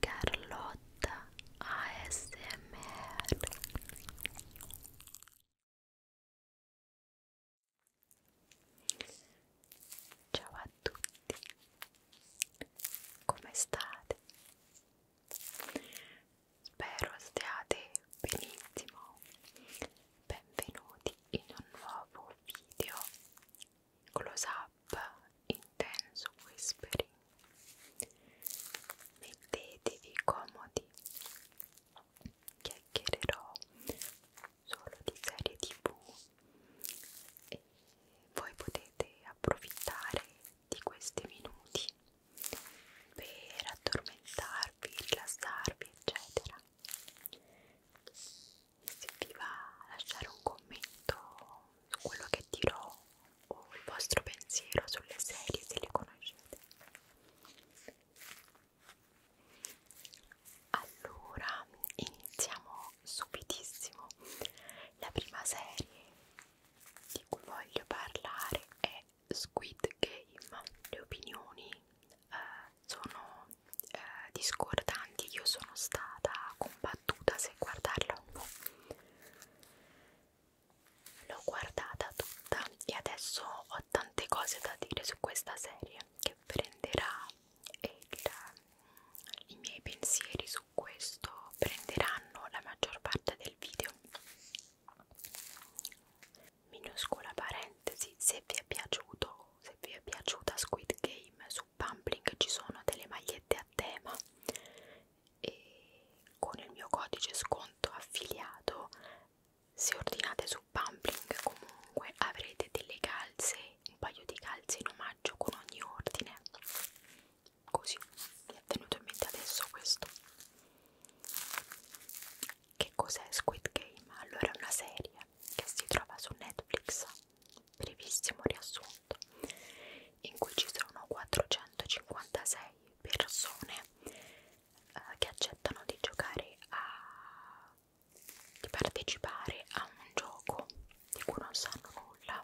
Carlotta ASMR Ciao a tutti, come state? Spero stiate benissimo, benvenuti in un nuovo video close up, intenso whispering. Mettetevi comodi, chiacchiererò solo di serie tv e voi potete approfittare di questi minuti per addormentarvi, rilassarvi, eccetera se vi va lasciare un commento su quello che dirò o il vostro pensiero sulle serie se le conoscete allora iniziamo subitissimo la prima serie di cui voglio parlare è Squid Game le opinioni eh, sono eh, discordanti, io sono stata combattuta se guardarlo l'ho guardata tutta e adesso ho tante cose da dire su questa serie che prenderà il, i miei pensieri su questo prenderanno la maggior parte del video minuscola parentesi se vi è piaciuto se vi è piaciuta Squid Game su Pumpling ci sono delle magliette a tema e con il mio codice sconto affiliato se ordinate su Pumpling comunque avrete delle calze, un paio di calze in omaggio con ogni ordine così mi è venuto in mente adesso questo che cos'è Squid Game? allora è una serie che si trova su Netflix brevissimo riassunto in cui ci sono 456 persone eh, che accettano di giocare a di partecipare a un gioco di cui non sanno nulla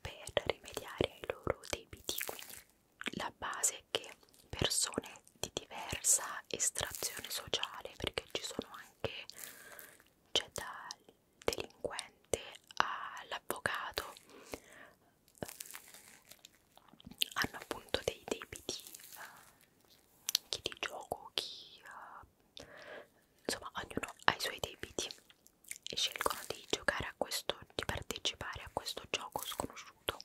per rimediare ai loro debiti quindi la base è che persone di diversa estrazione sociale perché ci sono anche anche cioè dal delinquente all'avvocato eh, hanno appunto dei debiti uh, chi di gioco chi uh, insomma ognuno ha i suoi debiti e scelgono di giocare a questo di partecipare a questo gioco sconosciuto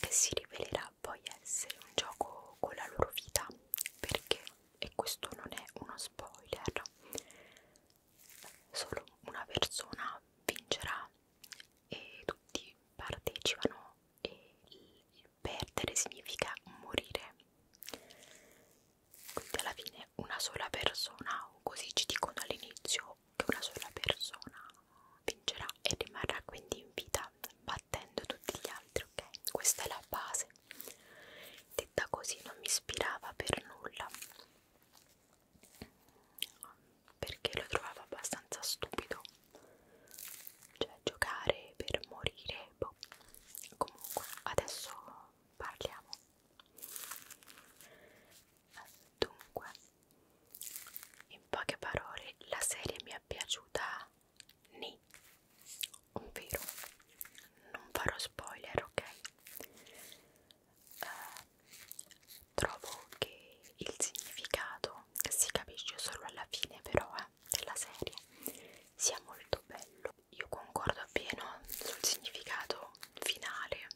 che si rivelerà possa poi essere un gioco con la loro vita perché, e questo non è uno spoiler, solo una persona vincerà e tutti partecipano e il perdere significa morire quindi alla fine una sola persona o così ci dicono all'inizio che una sola persona vincerà e rimarrà quindi in vita battendo tutti gli altri ok? Questa è la base. Detta così non mi ispirava per nulla perché lo trovavo abbastanza stupido. Cioè giocare per morire, boh. Comunque adesso parliamo. Dunque, in poche parole, la serie mi è piaciuta ni, ovvero non farò spoiler, ok? Eh, trovo che il significato si capisce solo alla fine, però, eh, della serie sia molto bello. Io concordo appieno sul significato finale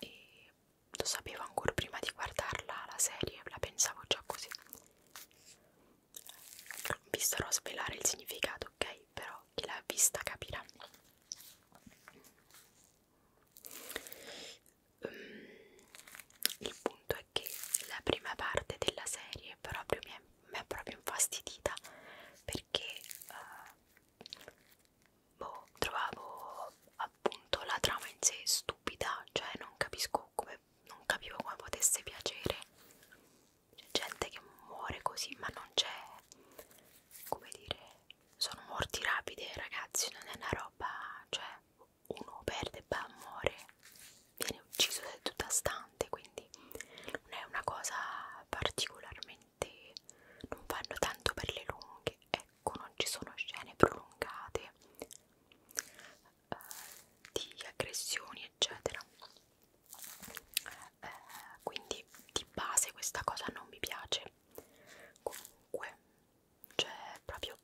e lo sapevo ancora prima di guardarla la serie, la pensavo già così non vi starò a svelare il significato, ok? Però chi l'ha vista capirà. Um, il punto è che la prima parte della serie proprio mi, è, mi è proprio infastidita perché uh, boh, trovavo appunto la trama in sé stupida, cioè non capisco come comunque non capivo come potesse piacere c'è gente che muore così ma non c'è come dire sono morti rapide ragazzi non è una roba cioè uno perde e muore viene ucciso da tutta stante quindi non è una cosa particolarmente non vanno tanto per le lunghe ecco non ci sono scene prolungate eh, di aggressioni eccetera eh, quindi di base questa cosa non mi piace comunque c'è cioè, proprio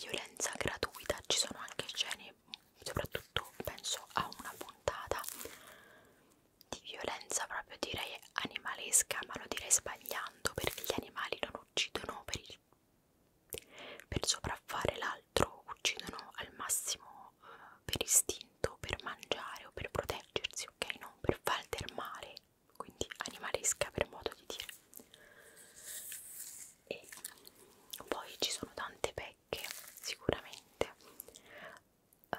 violenza gratuita ci sono anche scene soprattutto penso a una puntata di violenza proprio direi animalesca ma lo direi sbagliando perché gli animali non uccidono per il per sopraffare l'altro uccidono al massimo eh, per istinto, per mangiare o per proteggersi, ok? Non per faltermare, quindi animalesca per modo di dire. E poi ci sono tante pecche, sicuramente. Eh,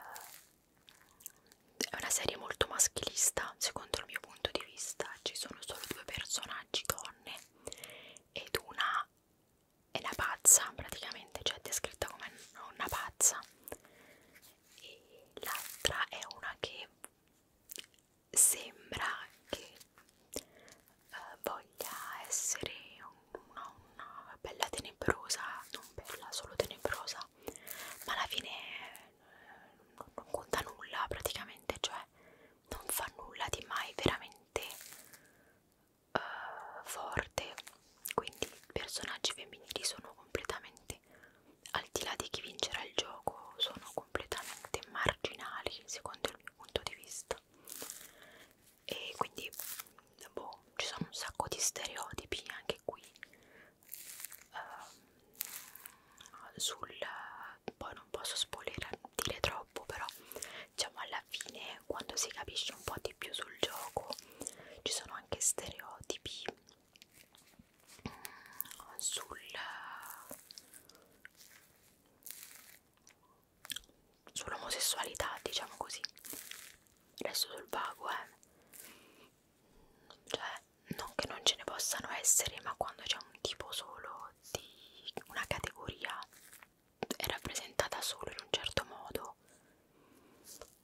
è una serie molto maschilista, secondo il mio punto di vista. Ci sono solo due personaggi donne ed una è una pazza praticamente, cioè è descritta come una pazza e l'altra è una che sembra che eh, voglia essere una, una bella tenebrosa, non bella, solo tenebrosa, ma alla fine eh, non conta nulla praticamente, cioè non fa nulla di mai veramente uh, forte quindi i personaggi femminili sono completamente al di là di chi vincerà il gioco sono completamente marginali secondo il mio punto di vista e quindi boh, ci sono un sacco di stereotipi anche qui uh, sul poi non posso spoilerare dire troppo troppo però diciamo alla fine quando si capisce un po' di più sul gioco ci sono anche stereotipi mm, sul sull'omosessualità diciamo così resto sul vago eh cioè non che non ce ne possano essere ma quando c'è un tipo solo di una categoria è rappresentata solo in un certo modo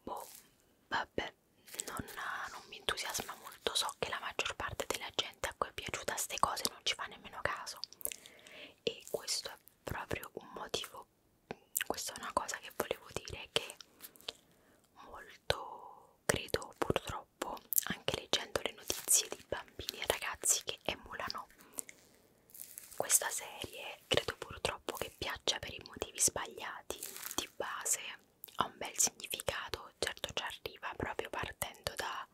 boh vabbè non, non mi entusiasma molto so che la maggior parte della gente a cui è piaciuta queste cose non ci fa nemmeno caso e questo è proprio un motivo questa è una cosa che volevo dire che molto credo purtroppo purtroppo anche leggendo le notizie di bambini e ragazzi che emulano questa serie credo purtroppo che piaccia per i motivi sbagliati di base ha un bel significato certo ci arriva proprio partendo da,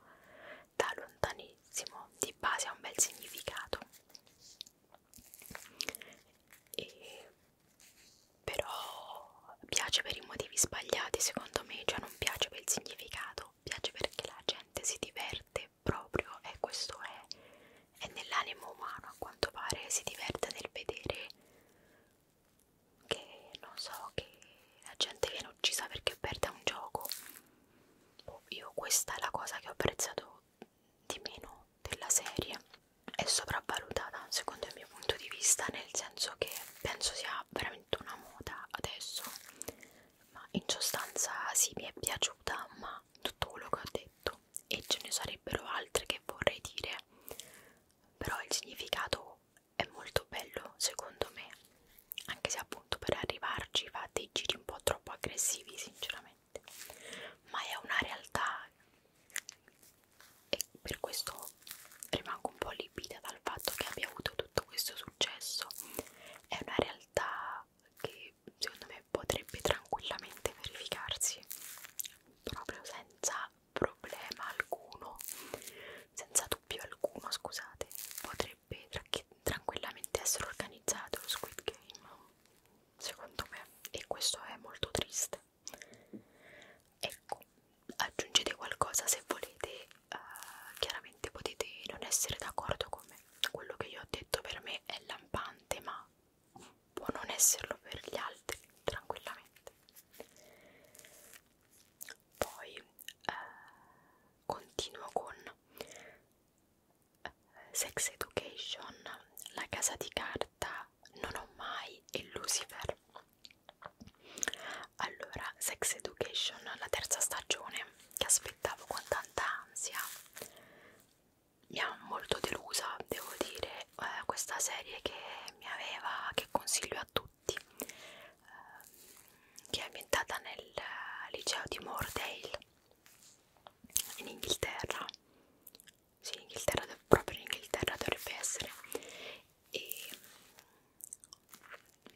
da lontanissimo di base ha un bel significato e però piace per i motivi sbagliati secondo me, cioè non piace per il significato piace perché la gente si diverte proprio e questo è, è nell'animo umano a quanto pare si diverte nel vedere che non so che la gente viene uccisa perché perde un gioco oh, io questa è la cosa che ho apprezzato di meno della serie è sopravvalutata secondo il mio punto di vista nel senso che penso sia veramente una moda adesso ma in sostanza sì mi è piaciuta ma tutto quello che ho detto e ce ne sarebbero altre che vorrei dire però il significato è molto bello secondo me anche se appunto per arrivarci fa dei giri un po' troppo aggressivi sinceramente ma è una realtà e per questo rimango un po' libita dal fatto che abbia avuto tutto tutto questo successo è una realtà che secondo me potrebbe tranquillamente verificarsi proprio senza problema alcuno senza dubbio alcuno scusate potrebbe tra tranquillamente essere organizzato lo Squid Game secondo me e questo è molto triste ecco aggiungete qualcosa se volete uh, chiaramente potete non essere d'accordo con me quello che io ho detto per me è lampante ma può non esserlo per gli altri tranquillamente poi uh, continuo con eh, Sex Education, la casa di carta, non ho mai e Lucifer. Allora, Sex Education, la terza stagione, che aspettavo con tanta ansia, mi ha molto delusa, devo dire, eh, questa serie che mi aveva, che consiglio a tutti, eh, che è ambientata nel liceo di Moordale, in Inghilterra, sì, in Inghilterra, proprio in Inghilterra dovrebbe essere, e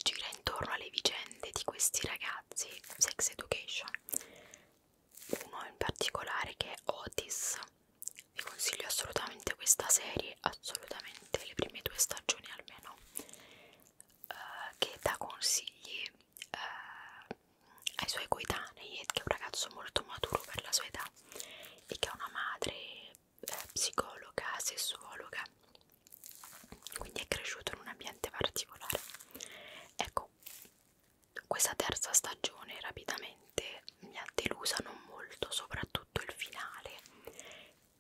gira intorno alle vicende di questi ragazzi sex education uno in particolare che è Otis vi consiglio assolutamente questa serie assolutamente le prime due stagioni almeno eh, che dà consigli eh, ai suoi coetanei che è un ragazzo molto maturo per la sua età e che ha una madre eh, psicologa, sessuologa, quindi è cresciuto in un ambiente particolare. Ecco, questa terza stagione rapidamente mi ha delusa non molto, soprattutto il finale,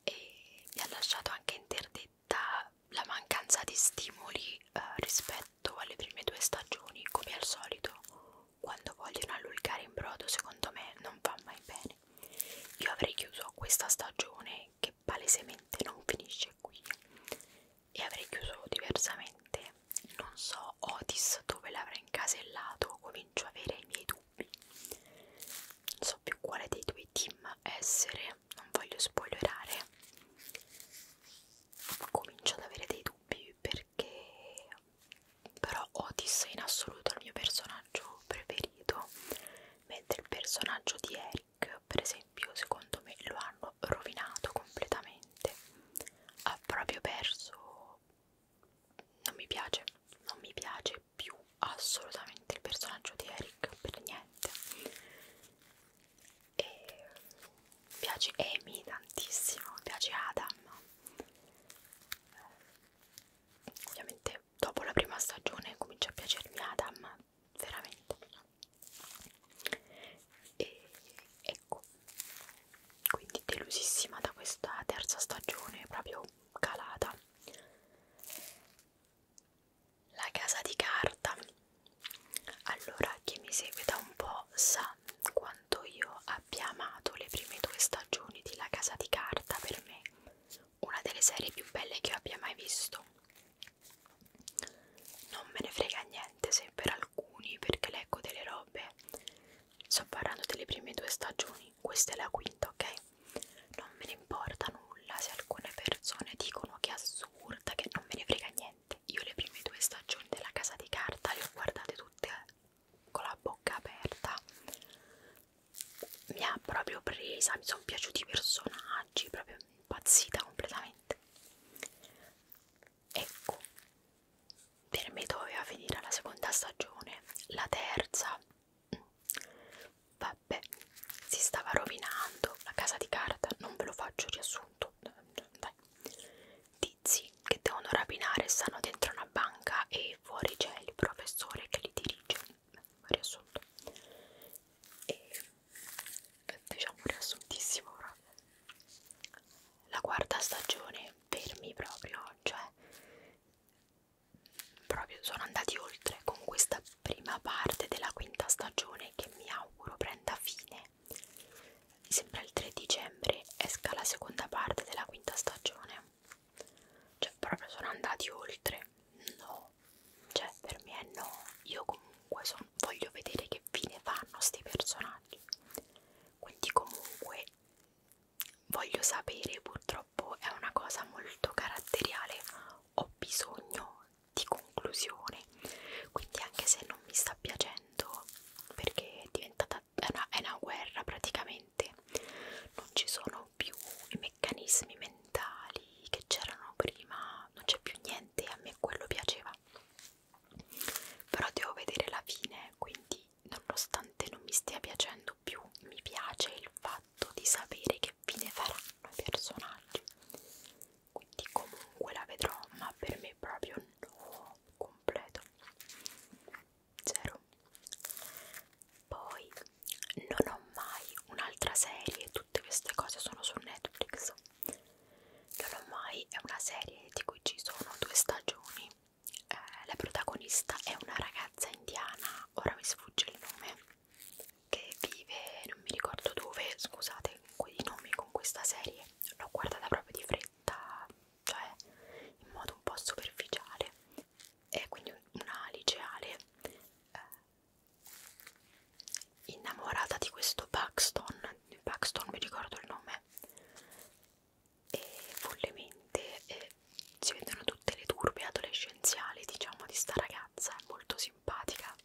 e mi ha lasciato anche interdetta la mancanza di stimoli eh, rispetto alle prime due stagioni, come al solito. Quando vogliono allungare in brodo, secondo me non va mai bene. Io avrei chiuso questa stagione che palesemente non finisce qui e avrei chiuso diversamente. Non so Otis dove l'avrà incasellato, comincio a avere i miei dubbi. Non so più quale dei due team essere, non voglio spoilerare. Comincio ad avere dei dubbi perché però Otis è in assoluto il mio personaggio preferito mentre il personaggio di Eric per esempio secondo me lo hanno rovinato completamente ha proprio perso non mi piace non mi piace più assolutamente il personaggio di Eric per niente e mi piace Amy tantissimo mi piace Adam ovviamente dopo la prima stagione comincia a piacermi Adam veramente e ecco quindi delusissima da questa terza stagione proprio calata la casa di carta allora chi mi segue da un po' sa quanto io abbia amato le prime due stagioni di La casa di carta per me una delle serie più belle che io abbia mai visto. Non me ne frega niente se per alcuni, perché leggo delle robe. Sto parlando delle prime due stagioni, questa è la quinta, ok? Non me ne importa nulla se alcune persone dicono che è assurda, che non me ne frega niente. Io le prime due stagioni della casa di carta le ho guardate tutte con la bocca aperta mi ha proprio presa, mi sono piaciuti i personaggi, proprio impazzita completamente. Ecco, per me doveva finire la seconda stagione, la terza, vabbè, si stava rovinando, la casa di carta, non ve lo faccio riassunto, dai. Tizi che devono rapinare stanno dentro una banca e fuori c'è il professore che li dirige riassunto e diciamo riassuntissimo proprio la quarta stagione fermi proprio cioè proprio sono andati oltre con questa prima parte della quinta stagione che mi auguro prenda fine mi sembra il 3 dicembre esca la seconda parte della quinta stagione cioè proprio sono andati oltre no cioè per me è no io comunque son, voglio vedere che fine fanno sti personaggi quindi comunque voglio sapere purtroppo è una cosa molto caratteriale ho bisogno di conclusione quindi anche se non mi sta piacendo perché è diventata è una, è una guerra praticamente non ci sono più i meccanismi mentali che c'erano prima non c'è più niente a me quello piaceva però devo vedere la fine quindi nonostante non mi stia piacendo più mi piace il fatto di sapere che fine faranno i personaggi quindi comunque la vedrò ma per me proprio no completo zero poi non ho mai un'altra serie tutte queste cose sono su Netflix non ho mai è una serie di cui ci sono due stagioni eh, la protagonista è una ragazza indiana ora mi sfugge il nome che vive non mi ricordo dove scusate quei nomi con questa serie l'ho guardata proprio di fretta cioè in modo un po' superficiale è quindi una liceale eh, innamorata di questo Paxton, Paxton mi ricordo il nome, e follemente eh, si vedono tutte le turbe adolescenziali diciamo di sta ragazza, è molto simpatica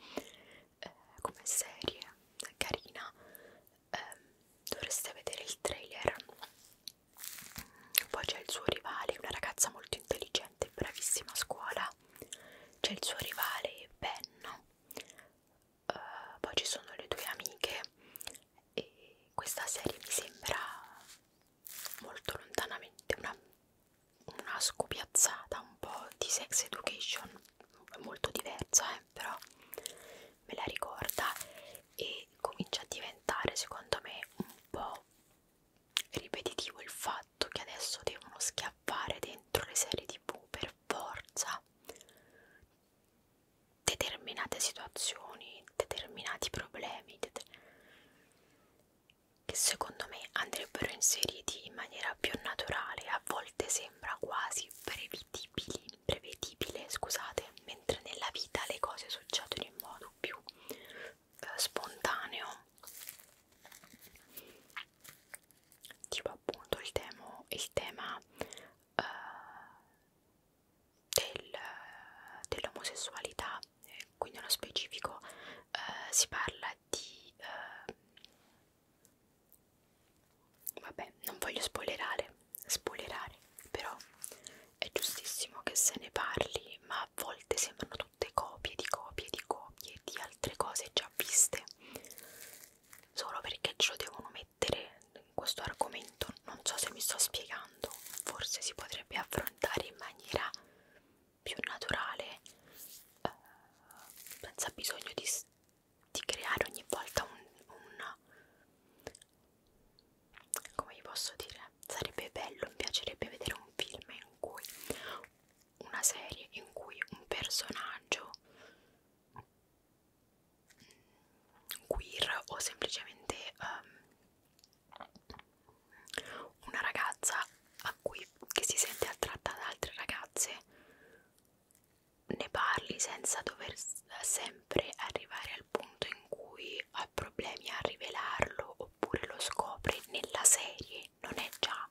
eh, come serie, carina, eh, dovreste vedere il trailer poi c'è il suo rivale, una ragazza molto intelligente e bravissima a scuola. C'è il suo rivale Ben. Uh, poi ci sono le due amiche e questa serie mi sembra molto lontanamente una, una scopiazzata un po' di sex education, molto diversa eh, però me la ricorda e comincia a diventare secondo me un po' ripetitivo il fatto che adesso devono schiaffare dentro le serie tv per forza determinate situazioni, determinati problemi det che secondo me andrebbero inseriti in maniera più naturale, a volte sembra quasi prevedibili, prevedibile, scusate, mentre nella vita le cose succedono in modo più spontaneo tipo appunto il, temo, il tema eh, del, dell'omosessualità quindi nello specifico eh, si parla di eh, vabbè non voglio spoilerare spoilerare però è giustissimo che se ne parli, ma a volte sembrano tutte copie di copie di copie di altre cose già viste, solo perché ce lo devono mettere in questo argomento. Non so se mi sto spiegando, forse si potrebbe affrontare in maniera più naturale, eh, senza bisogno di, di creare ogni volta un, un come vi posso dire sarebbe bello mi piacerebbe vedere un film in cui una serie in cui un personaggio queer o semplicemente um, una ragazza a cui che si sente attratta da altre ragazze ne parli senza dover sempre arrivare al punto in cui ha problemi a rivelarlo o oppure lo scopre nella serie, non è già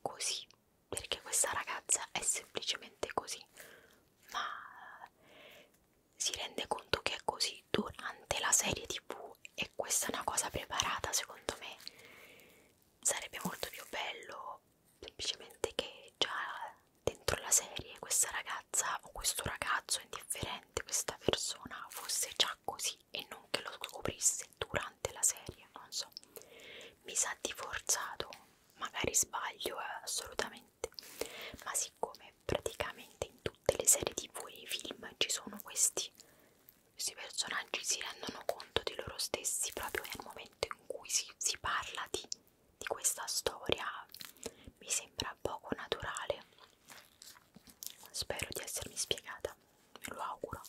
così, perché questa ragazza è semplicemente così, ma si rende conto che è così durante la serie tv e questa è una cosa preparata secondo me sarebbe molto più bello semplicemente che già dentro la serie questa ragazza ragazza o questo ragazzo indifferente, questa persona fosse già così e non che lo scoprisse durante la serie, non so, mi sa di forzato, magari sbaglio eh, assolutamente, ma siccome praticamente in tutte le serie tv e i film ci sono questi, questi personaggi si rendono conto di loro stessi proprio nel momento in cui si, si parla di, di questa storia, mi sembra poco naturale Spero di essermi spiegata, me lo auguro.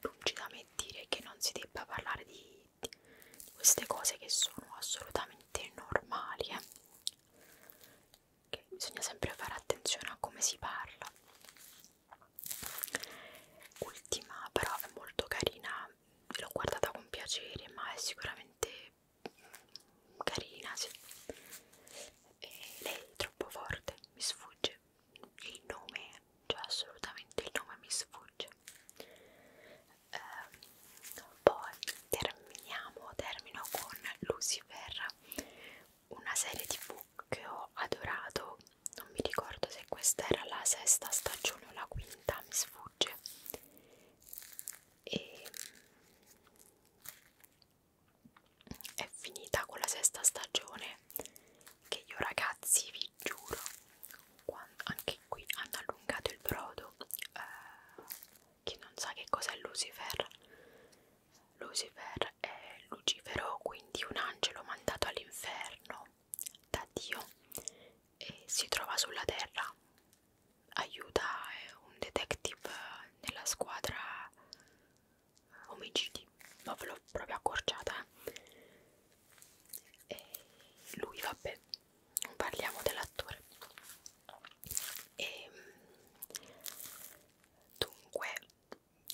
Lungi da me dire che non si debba parlare di, di queste cose che sono assolutamente normali. Eh? Che bisogna sempre fare attenzione a come si parla. Ultima, però, è molto carina, l'ho guardata con piacere, ma è sicuramente carina, sì. E lei è troppo forte, mi sfugge il nome, cioè assolutamente il nome mi sfugge. Ehm, poi terminiamo, termino con Lucifer, una serie tv che ho adorato, non mi ricordo se questa era la sesta stagione o la quinta, mi sfugge. E è finita con la sesta stagione che io ragazzi vi giuro quando, anche qui hanno allungato il brodo eh, chi non sa che cos'è Lucifer Lucifer è Lucifero quindi un angelo mandato all'inferno da Dio e si trova sulla terra aiuta eh, un detective nella squadra omicidi, ma ve l'ho proprio accorciata. Eh. E lui, vabbè, non parliamo dell'attore. E ehm, dunque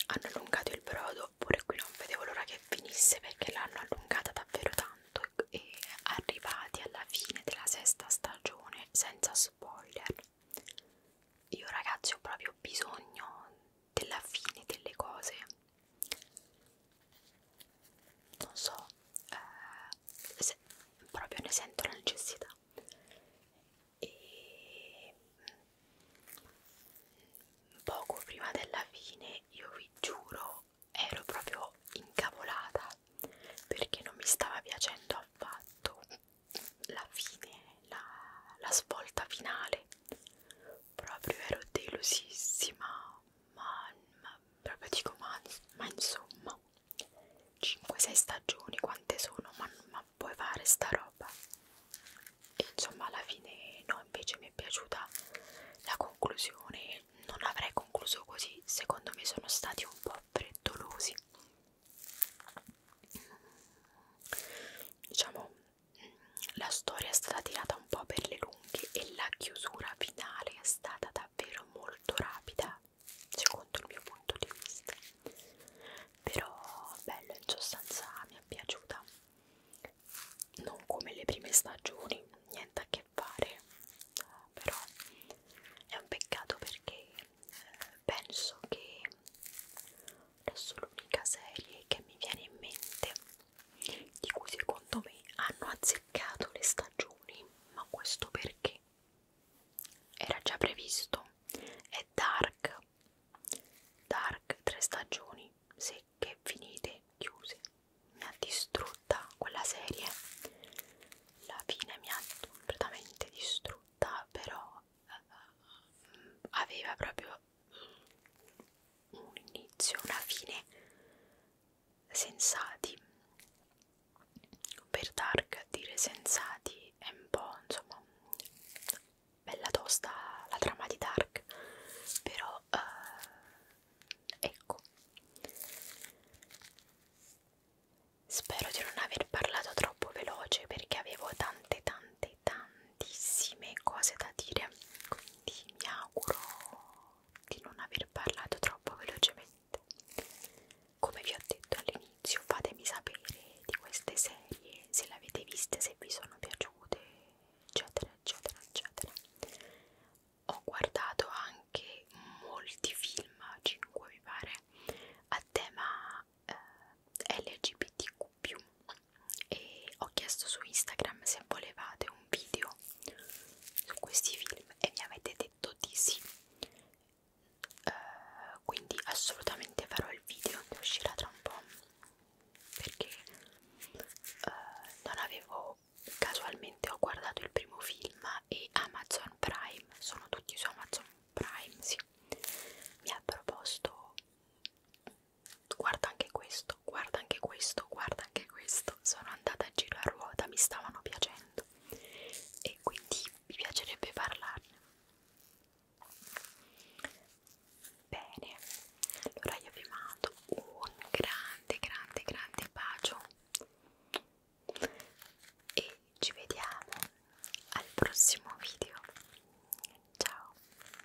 hanno allungato il brodo, pure qui non vedevo l'ora che finisse perché l'hanno allungata davvero tanto e arrivati alla fine della sesta stagione senza spoiler io ragazzi ho proprio bisogno della fine delle cose. Non so, eh, se, proprio ne sento la necessità. E mm, poco prima della fine, io vi giuro, ero proprio incavolata perché non mi stava piacendo affatto la fine, la, la svolta finale. Proprio ero delusissima, ma, ma proprio dico ma, ma insomma 5-6 stagioni quante sono, ma, ma puoi fare sta roba? E insomma alla fine no, invece mi è piaciuta la conclusione, non avrei concluso così, secondo me sono stati un po' freddolosi diciamo la storia è stata tirata un po' per le lunghe e la chiusura finale è stata davvero molto rapida secondo il mio punto di vista però bello in sostanza mi è piaciuta non come le prime stagioni niente a che fare però è un peccato perché penso che adesso l'unica serie che mi viene in mente di cui secondo me hanno azzeccato le stagioni ma questo perché era già previsto è Dark Dark tre stagioni secche finite chiuse mi ha distrutta quella serie la fine mi ha completamente distrutta però eh, aveva proprio un inizio una fine sensati per Dark dire sensati è un po' insomma bella tosta la trama di Dark però eh, ecco Spero di non aver parlato troppo veloce perché avevo tante tante tantissime cose da dire, quindi mi auguro di non aver parlato troppo velocemente. Come vi ho detto all'inizio, fatemi sapere di queste serie, se le avete viste, se vi sono piaciute, eccetera, eccetera, eccetera. Ho guardato anche molti film film 5 mi pare a tema eh, LGBTQ e ho chiesto su Instagram se volevate un video su questi film e mi avete detto di sì uh, quindi assolutamente farò il video ne uscirà tra un po' perché uh, non avevo casualmente ultimamente ho guardato il primo film e Amazon Prime, sono tutti su Amazon Prime, sì, mi ha proposto guarda anche questo, guarda anche questo, guarda anche questo, sono andata a giro a ruota, mi stavano piacendo e quindi mi piacerebbe parlarne. Bene, allora io vi mando un grande, grande, grande bacio e ci vediamo al prossimo video ciao